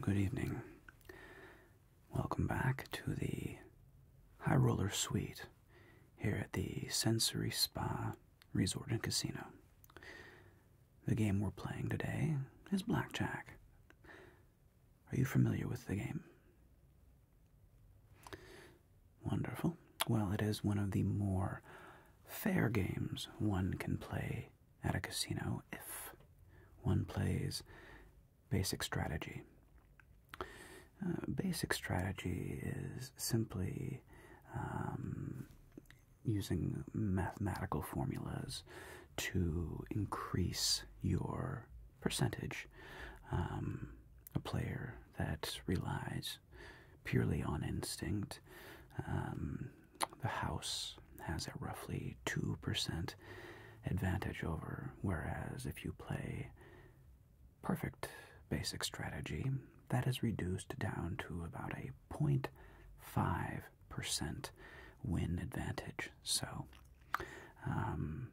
Good evening. Welcome back to the High Roller Suite here at the Sensory Spa Resort and Casino. The game we're playing today is Blackjack. Are you familiar with the game? Wonderful. Well, it is one of the more fair games one can play at a casino if one plays basic strategy. Uh, basic strategy is simply um, using mathematical formulas to increase your percentage. Um, a player that relies purely on instinct. Um, the house has a roughly 2% advantage over, whereas if you play perfect basic strategy, that is reduced down to about a 0.5% win advantage. So, um,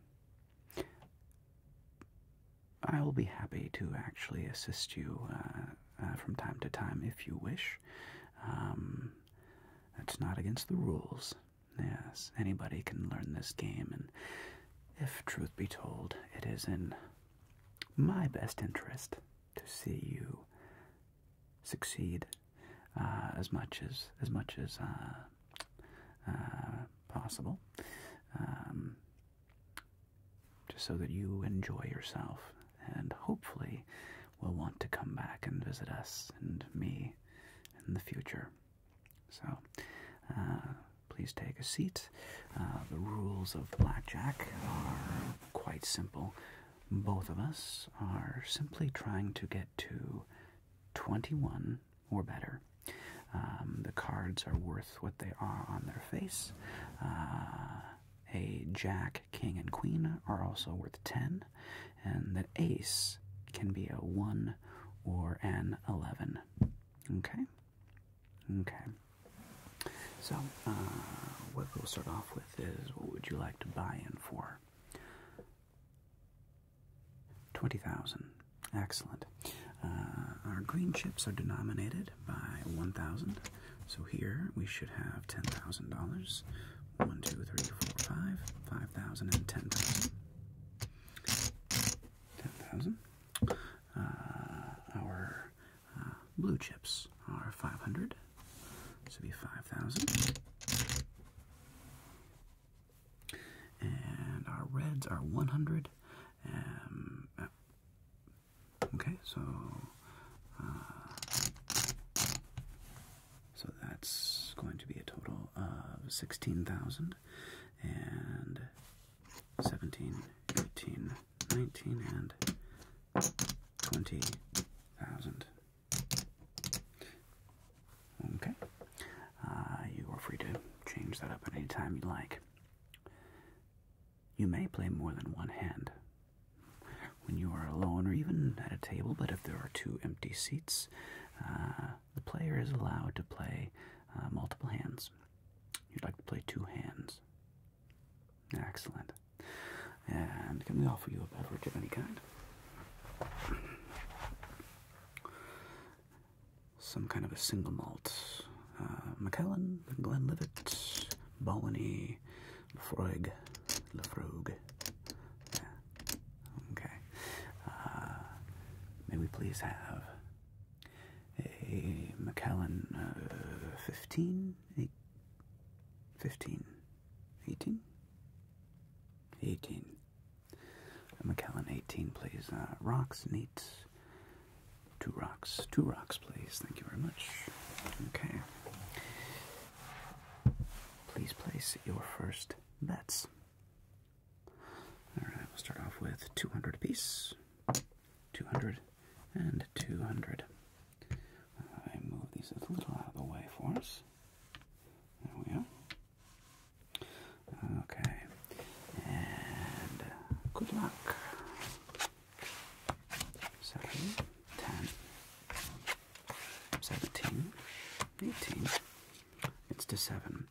I will be happy to actually assist you uh, uh, from time to time if you wish. Um, that's not against the rules. Yes, anybody can learn this game, and if truth be told, it is in my best interest to see you succeed uh, as much as as much as possible. Um, just so that you enjoy yourself and hopefully will want to come back and visit us and me in the future. So, uh, please take a seat. Uh, the rules of blackjack are quite simple. Both of us are simply trying to get to 21 or better um, the cards are worth what they are on their face. Uh, a jack, king, and queen are also worth 10, and the ace can be a 1 or an 11. Okay? Okay. So, uh, what we'll start off with is what would you like to buy in for? 20,000. Excellent. Uh, our green chips are denominated by 1,000. So here we should have $10,000. 1, 2, 3, 4, 5, 5,000 and 10,000. 10,000. Uh, our uh, blue chips are 500. This would be 5,000. And our reds are 100. Um, uh, Okay, so uh, so that's going to be a total of sixteen thousand and seventeen, eighteen, nineteen, and twenty thousand. Okay, uh, you are free to change that up at any time you like. You may play more than one hand when you are alone or even at a table, but if there are two empty seats, uh, the player is allowed to play uh, multiple hands. You'd like to play two hands. Excellent. And can we offer you a beverage of any kind? some kind of a single malt. Uh, Macallan, Glenlivet, Balony, Lefroig, Lefroig. Yeah. Okay. Uh, may we please have a Macallan uh, 15, 18? 18. Macallan 18, please. Uh, rocks, neat, Two rocks. Two rocks, please. Thank you very much. Okay. Please place your first bets. Alright, we'll start off with 200 apiece. Two hundred and two hundred. I move these a little out of the way for us. There we are. Okay, and uh, good luck. Seven, ten, seventeen, eighteen. It's to seven.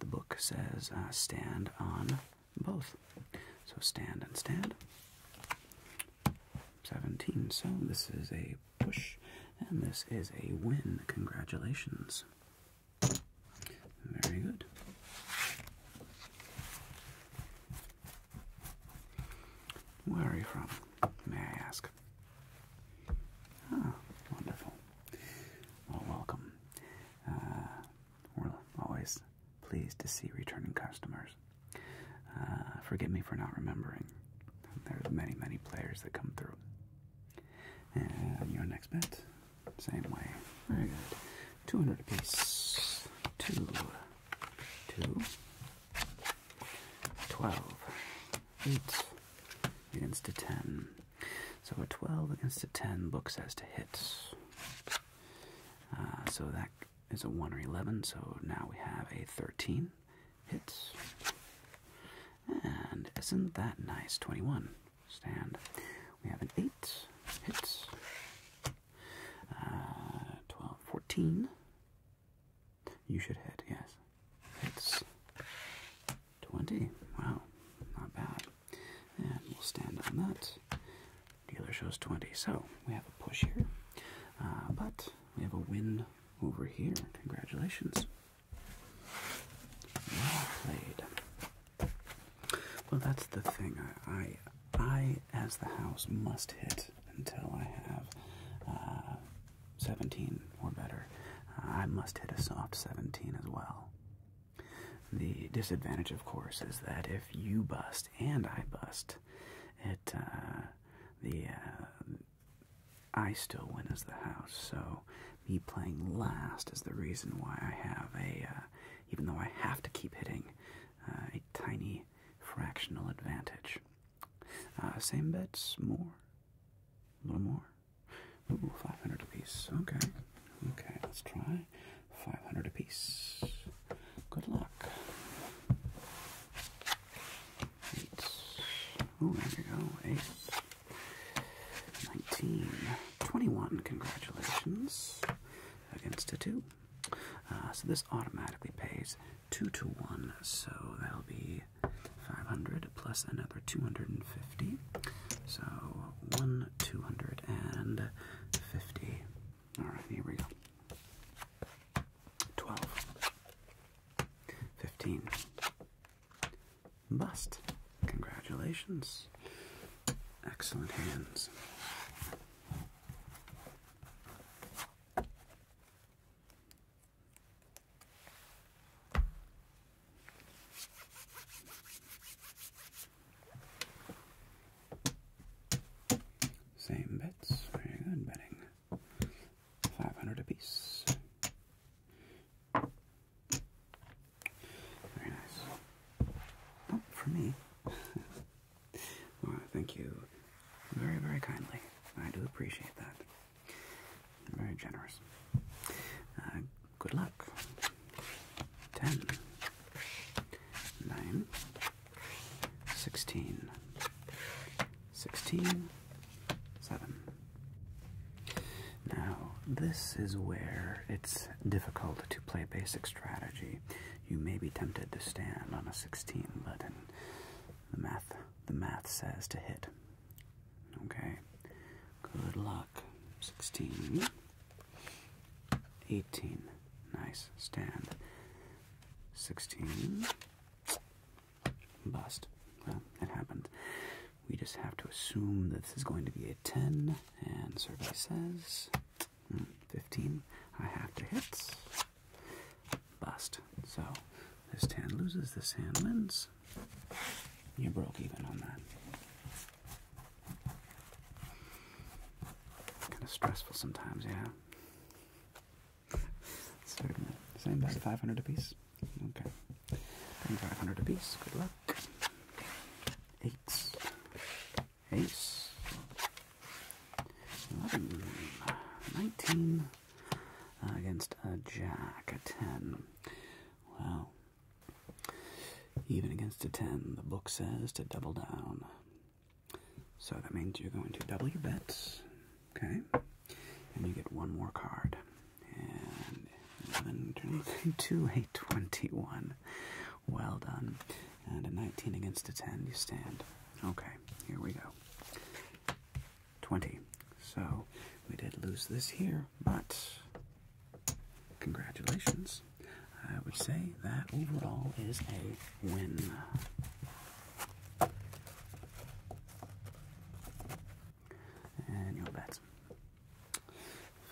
The book says uh, stand on both. So stand and stand. 17. So this is a push and this is a win. Congratulations. Very good. Where are you from? May I ask? Ah, wonderful. Well, welcome. Uh, we're always pleased to see returning customers. Uh, forgive me for not remembering. There's many, many players that come through. your next bet. Same way. Very good. 200 apiece. Two. Two. 12. 8 against a 10. So a 12 against a 10 book says to hit. Uh, so that is a 1 or 11, so now we have a 13 hits. And isn't that nice? 21 stand. We have an 8, hits. Uh, 12, 14. You should hit, yes. Hits. 20. Wow, not bad. And we'll stand on that. Dealer shows 20. So we have a push here. Uh, but we have a win over here. Congratulations. Well played. Well, that's the thing. I, I, as the house, must hit until I have uh, 17 or better. I must hit a soft 17 as well. The disadvantage, of course, is that if you bust and I bust, it uh, the uh, I still win as the house. So me playing last is the reason why I have a, uh, even though I have to keep hitting, uh, a tiny fractional advantage. Uh, same bets, more, a little more. Ooh, 500 apiece. Okay, okay, let's try 500 apiece. Good luck. Eight. Ooh, there you go, eight. 19, 21, congratulations, against a 2. Uh, so this automatically pays 2 to 1, so that'll be 500 plus another 250. So 1, 250. Alright, here we go. 12, 15, bust. Congratulations. Excellent hands. Same bets. Very good betting. 500 apiece. Very nice. Not oh, for me. Laura, thank you very, very kindly. I do appreciate that. very generous. Uh, good luck. Ten. Sixteen. Sixteen. Seven. Now, this is where it's difficult to play basic strategy. You may be tempted to stand on a 16, but the math the math says to hit. Okay. Good luck. 16. 18. Nice. Stand. 16. Bust. it happened. We just have to assume that this is going to be a 10, and survey says hmm, 15 I have to hit. Bust. So this ten loses, this hand wins. You broke even on that. Kind of stressful sometimes, yeah. Certainly. Same best 500 apiece? Okay. Bring 500 apiece. Good luck. Eight ace, 11, 19 uh, against a jack, a 10. Well, even against a 10, the book says to double down. So that means you're going to double your bets, okay? And you get one more card. And 11 turns into a 21 well done. And a 19 against a 10, you stand. Okay, here we go. 20. So we did lose this here, but congratulations. I would say that overall is a win. And your bets.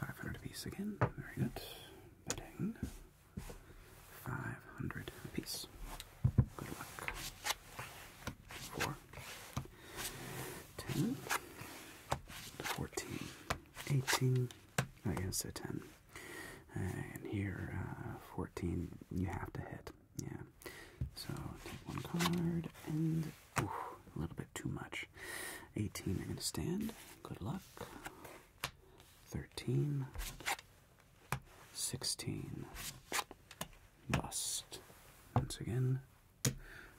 500 a piece again. Very good. Betting. 500 a piece. Good luck. 4, 10, 14, 18. I guess a 10. And here, uh, 14, you have to hit. Yeah. So take one card and a little bit too much. 18, i going to stand. Good luck. 13, 16, Must. Once again,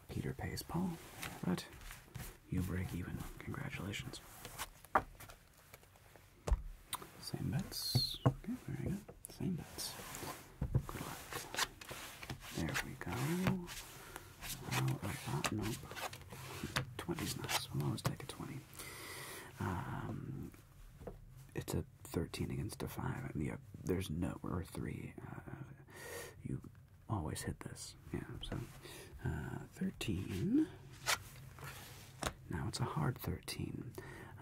Peter pays Paul, but you break even. Congratulations. Same bets. Okay, there we go. Same bets. Good luck. There we go. Out of nice. We'll always take a 20. Um, it's a 13 against a 5. I yeah, there's no, or 3. Uh, you always hit this. Yeah, so uh, 13. Now it's a hard 13.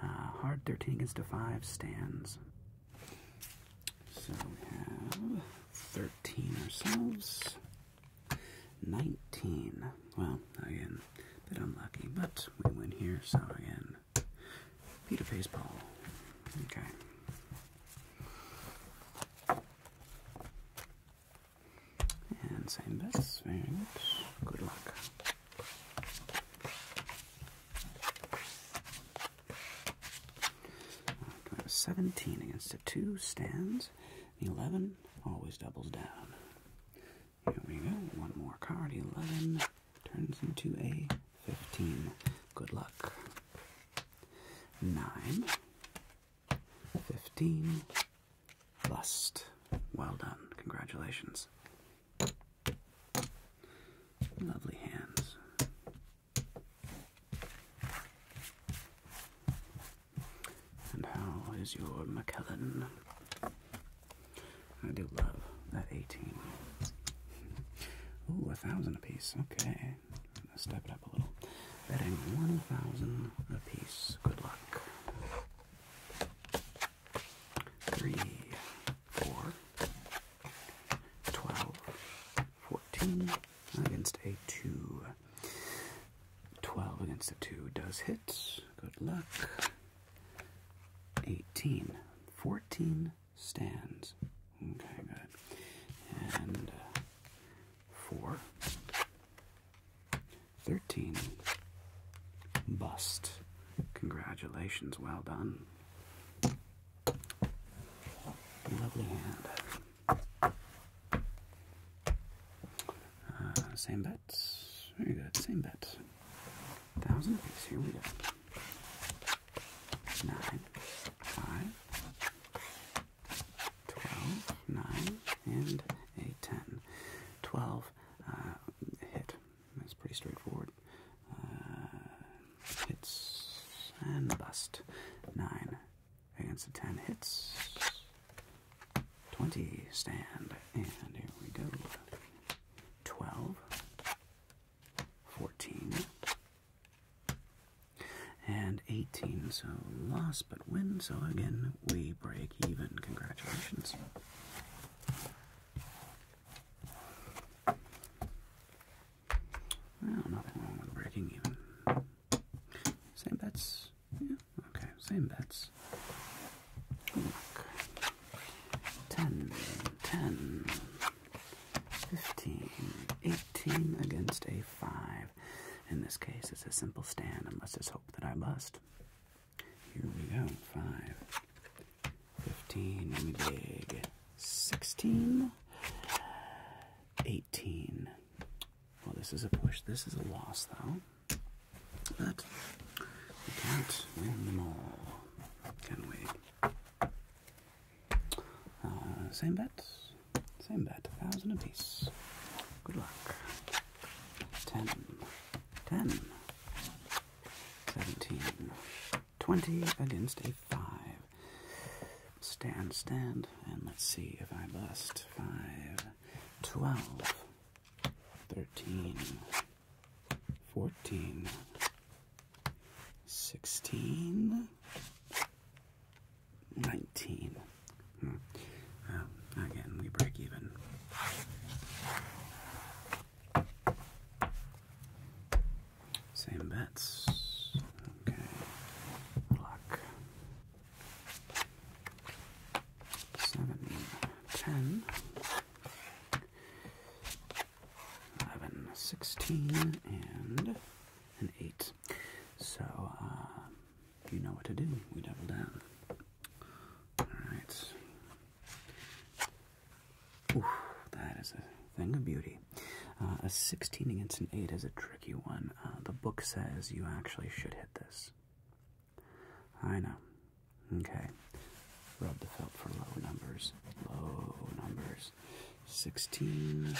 Uh, hard 13 against a 5 stands. So we have 13 ourselves. 19. Well, again, a bit unlucky, but we win here, so again, Peter pays Paul. Okay. And same bets, very Good luck. 17 against a 2 stands. The 11 always doubles down. Here we go. One more card. 11 turns into a 15. Good luck. 9. 15. Lust. Well done. Congratulations. Lovely hands. And how is your Macallan? I do love that 18. Ooh, a thousand a piece. Okay. Let's step it up a little. Betting 1,000 a piece. Good luck. Three, four, 12, 14, against a 2. 12 against a 2 does hit. Good luck. 18. 14 stands. Okay, good. And uh, 13. Bust. Congratulations. Well done. Lovely hand. Uh, same bets. Very good. Same bet. Thousand apiece. Here we go. Nine, five, twelve, nine, and a ten. Twelve uh, hit. That's pretty straightforward. Uh, hits and bust. Nine. Against the 10 hits. 20 stand. And here we go. 12. 14. And 18. So lost, but win. So again, we break even. Congratulations. Well, nothing wrong with breaking even. Same bets? Yeah, okay, same bets. Look. 10, 10, 15, 18 against a 5. In this case, it's a simple stand, and let's just hope that I bust. Here we go. 5, 15, big 16. 18. Well, oh, this is a push. This is a loss, though. But we can't win them all, can we? Uh, same bet. Same bet. A thousand apiece. Good luck. Ten. Ten. Seventeen. Twenty against a five. Stand, stand, and let's see if I bust. 5, 12, 13, 14, 16, 19. Hmm. again, we break even. Same bets. Okay. Luck. Seven, ten, eleven, sixteen, and an eight. So, uh, you know what to do. We double down. Alright. Oof, that is a thing of beauty. Uh, a 16 against an 8 is a tricky one. Uh, the book says you actually should hit this. I know. Okay. Rub the felt for low numbers. Low numbers. 16.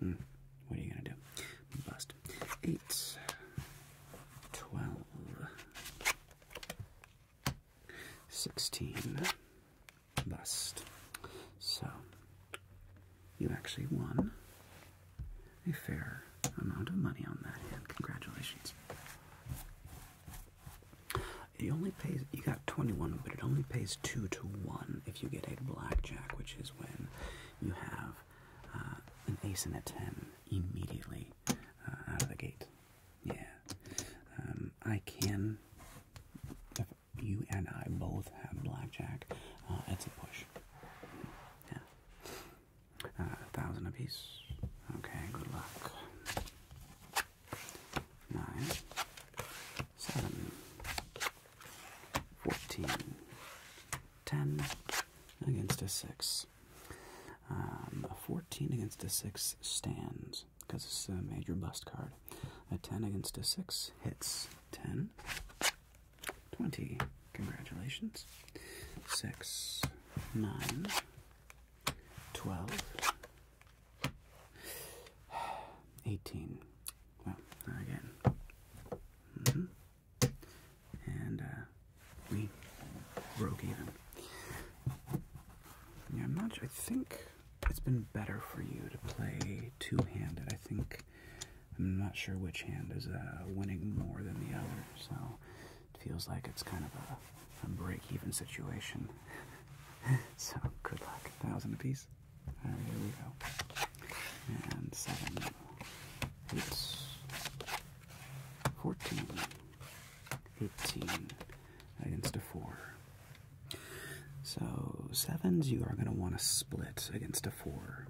Hmm. What are you going to do? Bust. 8. 12. 16 bust. So, you actually won a fair amount of money on that hand. Congratulations. It only pays, you got 21, but it only pays 2 to 1 if you get a blackjack, which is when you have uh, an ace and a 10 immediately uh, out of the gate. Yeah. Um, I can, you and I both have blackjack. Uh, it's a push. Yeah. Uh, a thousand apiece. Okay, good luck. Nine, seven, fourteen, ten against a six. Um, fourteen against a six stands because it's a major bust card. A 10 against a 6 hits 10. 20. Congratulations. 6, 9, 12, 18. Well, again. Mm-hmm. And uh, we broke even. Yeah, i I think it's been better for you to play two-handed. I think I'm not sure which hand is uh, winning more than the other, so it feels like it's kind of a, a break-even situation. so good luck. A thousand apiece. All right, here we go. And seven, eight, fourteen, eighteen against a four. So, sevens you are going to want to split against a four.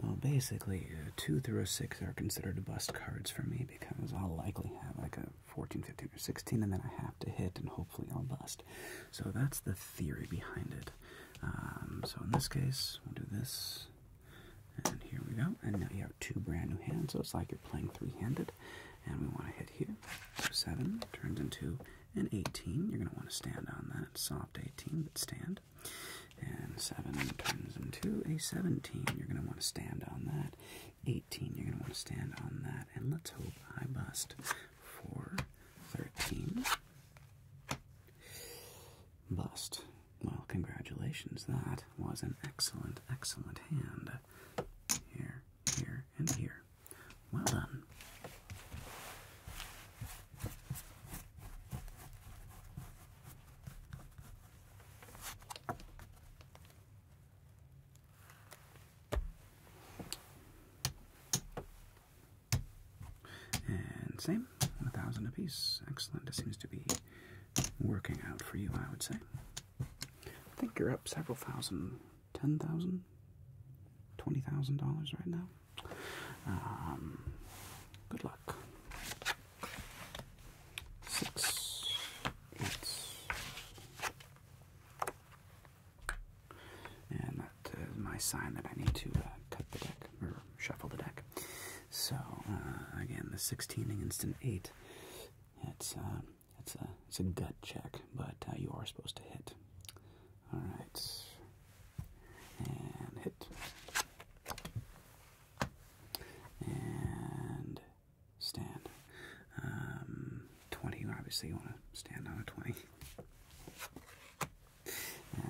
Well, basically, two through a six are considered bust cards for me because I'll likely have like a 14, 15, or 16, and then I have to hit and hopefully I'll bust. So, that's the theory behind it. Um, so, in this case, we'll do this. And here we go. And now you have two brand new hands, so it's like you're playing three handed and we want to hit here. So 7 turns into an 18. You're going to want to stand on that. Soft 18, but stand. And 7 turns into a 17. You're going to want to stand on that. 18, you're going to want to stand on that. And let's hope I bust for 13. Bust. Well, congratulations. That was an excellent, excellent hand. Here, here, and here. Well done. And same, a thousand apiece. Excellent. It seems to be working out for you, I would say. I think you're up several thousand ten thousand, twenty thousand dollars right now. Um, good luck. Six, eight, and that is my sign that I need to uh, cut the deck or shuffle the deck. So uh, again, the sixteen and instant eight. It's um, it's a it's a gut check, but uh, you are supposed to hit. All right, and hit, and stand. Um, twenty. Obviously, you want to stand on a twenty.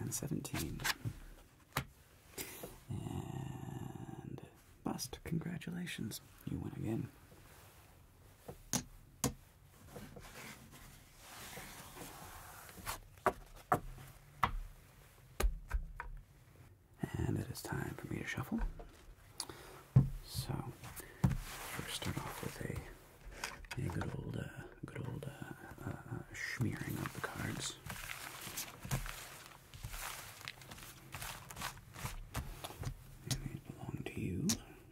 And seventeen. And bust. Congratulations, you win again. And it is time for me to shuffle. So, first start off with a, a good old, uh, good old uh, uh, uh, smearing of the cards. they belong to you.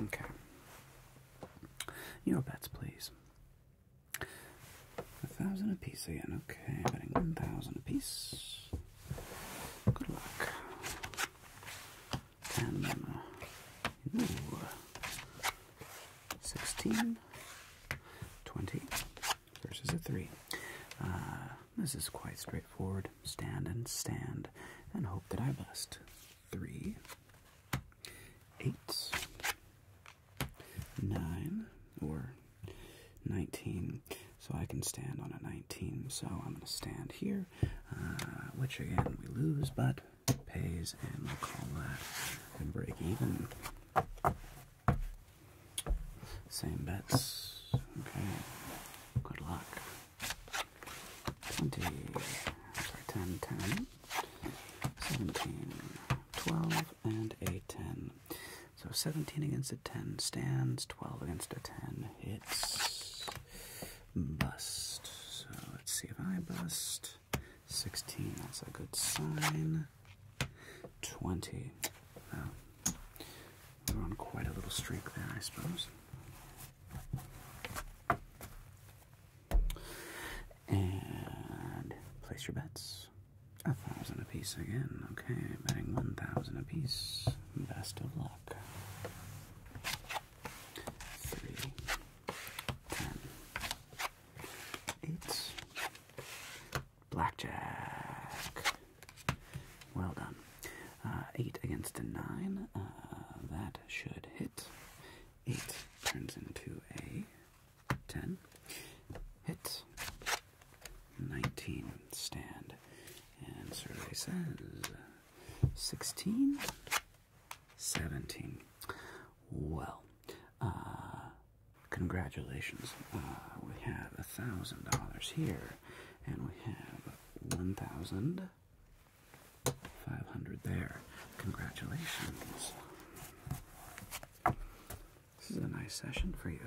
Okay. Your bets, please. A thousand apiece again. Okay, betting one thousand apiece. Good luck. Ten. Ooh. 16. 20 versus a 3. Uh, this is quite straightforward. Stand and stand and hope that I bust. 3. 8. 9. Or 19. So I can stand on a 19. So I'm going to stand here, uh, which again we lose, but pays, and we call that a break even. Same bets. Okay. Good luck. 20. Sorry, 10, 10. 17, 12, and a 10. So 17 against a 10 stands, 12 against a 10 hits. Bust. So let's see if I bust. 16, that's a good sign. 20. We're on quite a little streak there, I suppose. And place your bets. A thousand apiece again. Okay, betting one thousand apiece. Best of luck. Three, ten, eight. Blackjack. Well done. Uh, eight against a nine. Uh, that should hit. Eight turns into a ten. Hit. 19 stand. And survey says 16, 17. Well, uh, congratulations. Uh, we have a thousand dollars here, and we have one thousand five hundred there. Congratulations. This is a nice session for you.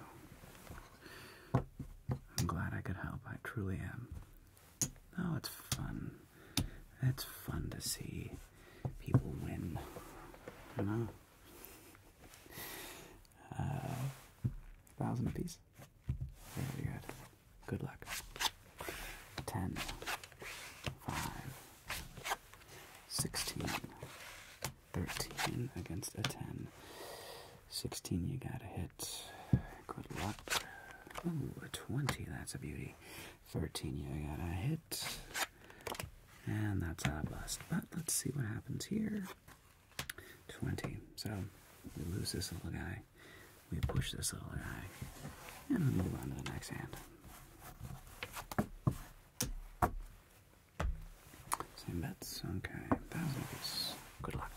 I'm glad I could help. I truly am. No, it's fun. It's fun to see people win. You know? Uh, thousand apiece. Very good. Good luck. Ten. Five. Sixteen. 13 against a 10. 16, you got to hit. Good luck. Ooh, a 20, that's a beauty. 13, you got to hit. And that's a bust. But let's see what happens here. 20. So we lose this little guy. We push this little guy. And we move on to the next hand. Same bets. Okay. Thousand apiece. Good luck.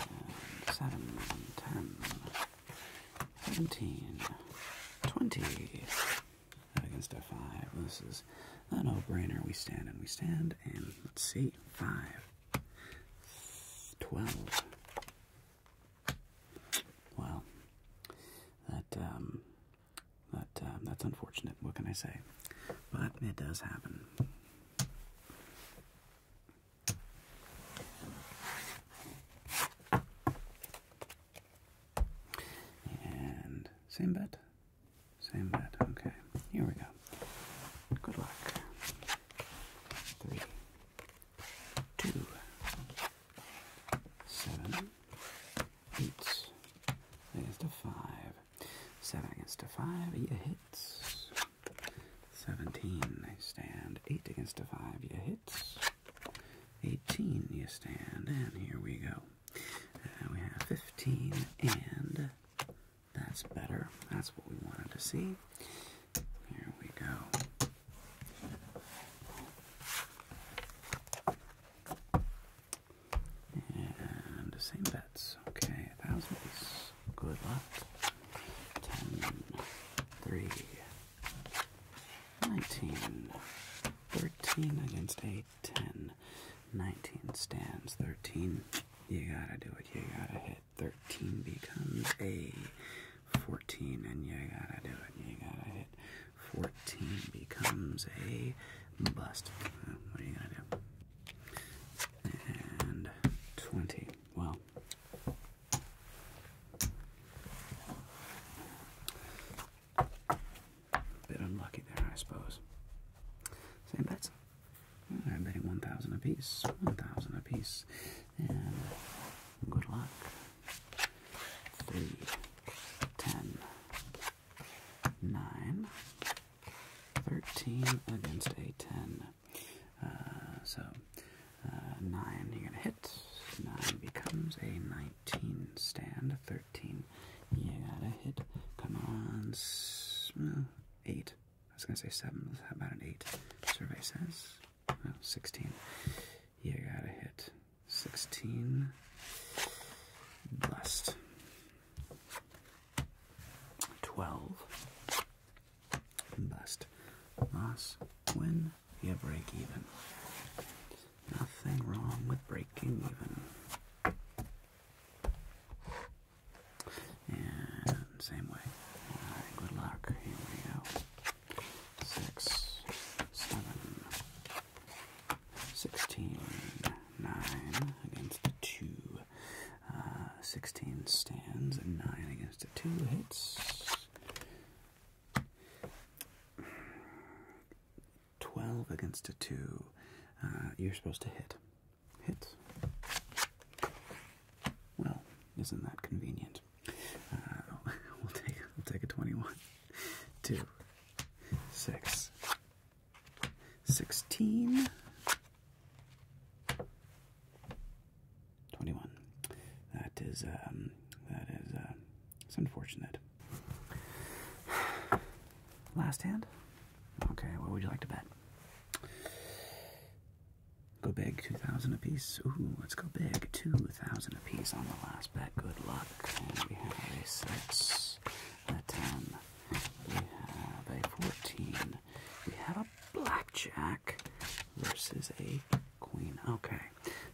And um, seven, ten, seventeen, twenty. Against a five. This is a no-brainer. We stand and we stand. And let's see. Five. Twelve. Well, that um, but um, that's unfortunate. What can I say? But it does happen. And same bet, same bet. Okay, here we go. Good luck. Three, two, seven, Eight against a five. Seven against a five, you hit. Seventeen, I stand. Eight against a five, you hit. Eighteen, you stand. And here we go. Uh, we have fifteen, and that's better. That's what we wanted to see. Here we go. And the same bets. Okay, a Good luck. Ten, three, 13 against 8, 10, 19 stands, 13. You gotta do it, you gotta hit. 13 becomes a 14, and you gotta do it, you gotta hit. 14 becomes a bust. what are you gonna do? And 20. Well, bit unlucky there, I suppose. Same bets. I'm betting 1,000 apiece. 1,000 apiece. And good luck. Three, ten, 9, 13 against a 10. Uh, so, uh, 9 you're going to hit, 9 becomes a 19 stand, 13 you got to hit, come on, well, mm, 8. I was going to say 7, how about an 8? Survey says, 16. You got to hit. 16. bust. 12. bust. Loss. Win. You break even. Nothing wrong with breaking even. And same way. good luck. Here we go. Six, seven, 16, 9 against 2. Uh, 16 stands and 9 against a 2 hits. 12 against a 2. Uh, you're supposed to hit. Hits. Well, isn't that convenient? Uh, we'll take we'll take a 21. 2 six, sixteen, twenty-one. That is um, that is uh, it's unfortunate. Last hand. Okay, what would you like to bet? Go big, two thousand a piece. Ooh, let's go big, two thousand a piece on the last bet. Good luck. six. Um, a 10. We 14. We have a blackjack versus a queen. Okay,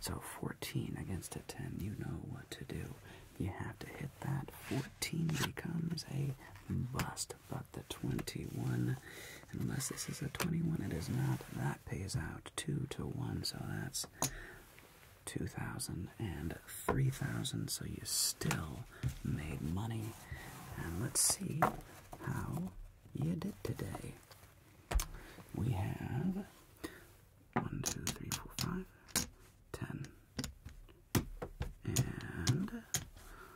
so 14 against a 10. You know what to do. You have to hit that. 14 becomes a bust, but the 21, unless this is a 21, it is not. That pays out 2 to 1, so that's 2,000 and 3,000, so you still made money. And let's see how you did today. We have 1, 2, 3, 4, 5, 10. And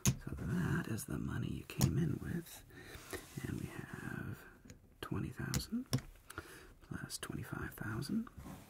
so that is the money you came in with. And we have 20,000 plus 25,000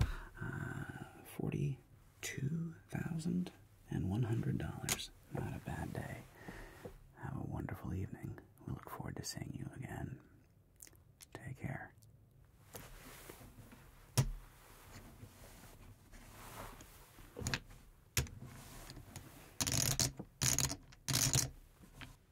uh, forty-two thousand and one hundred dollars. Not a bad day. Have a wonderful evening. We look forward to seeing you again. Take care.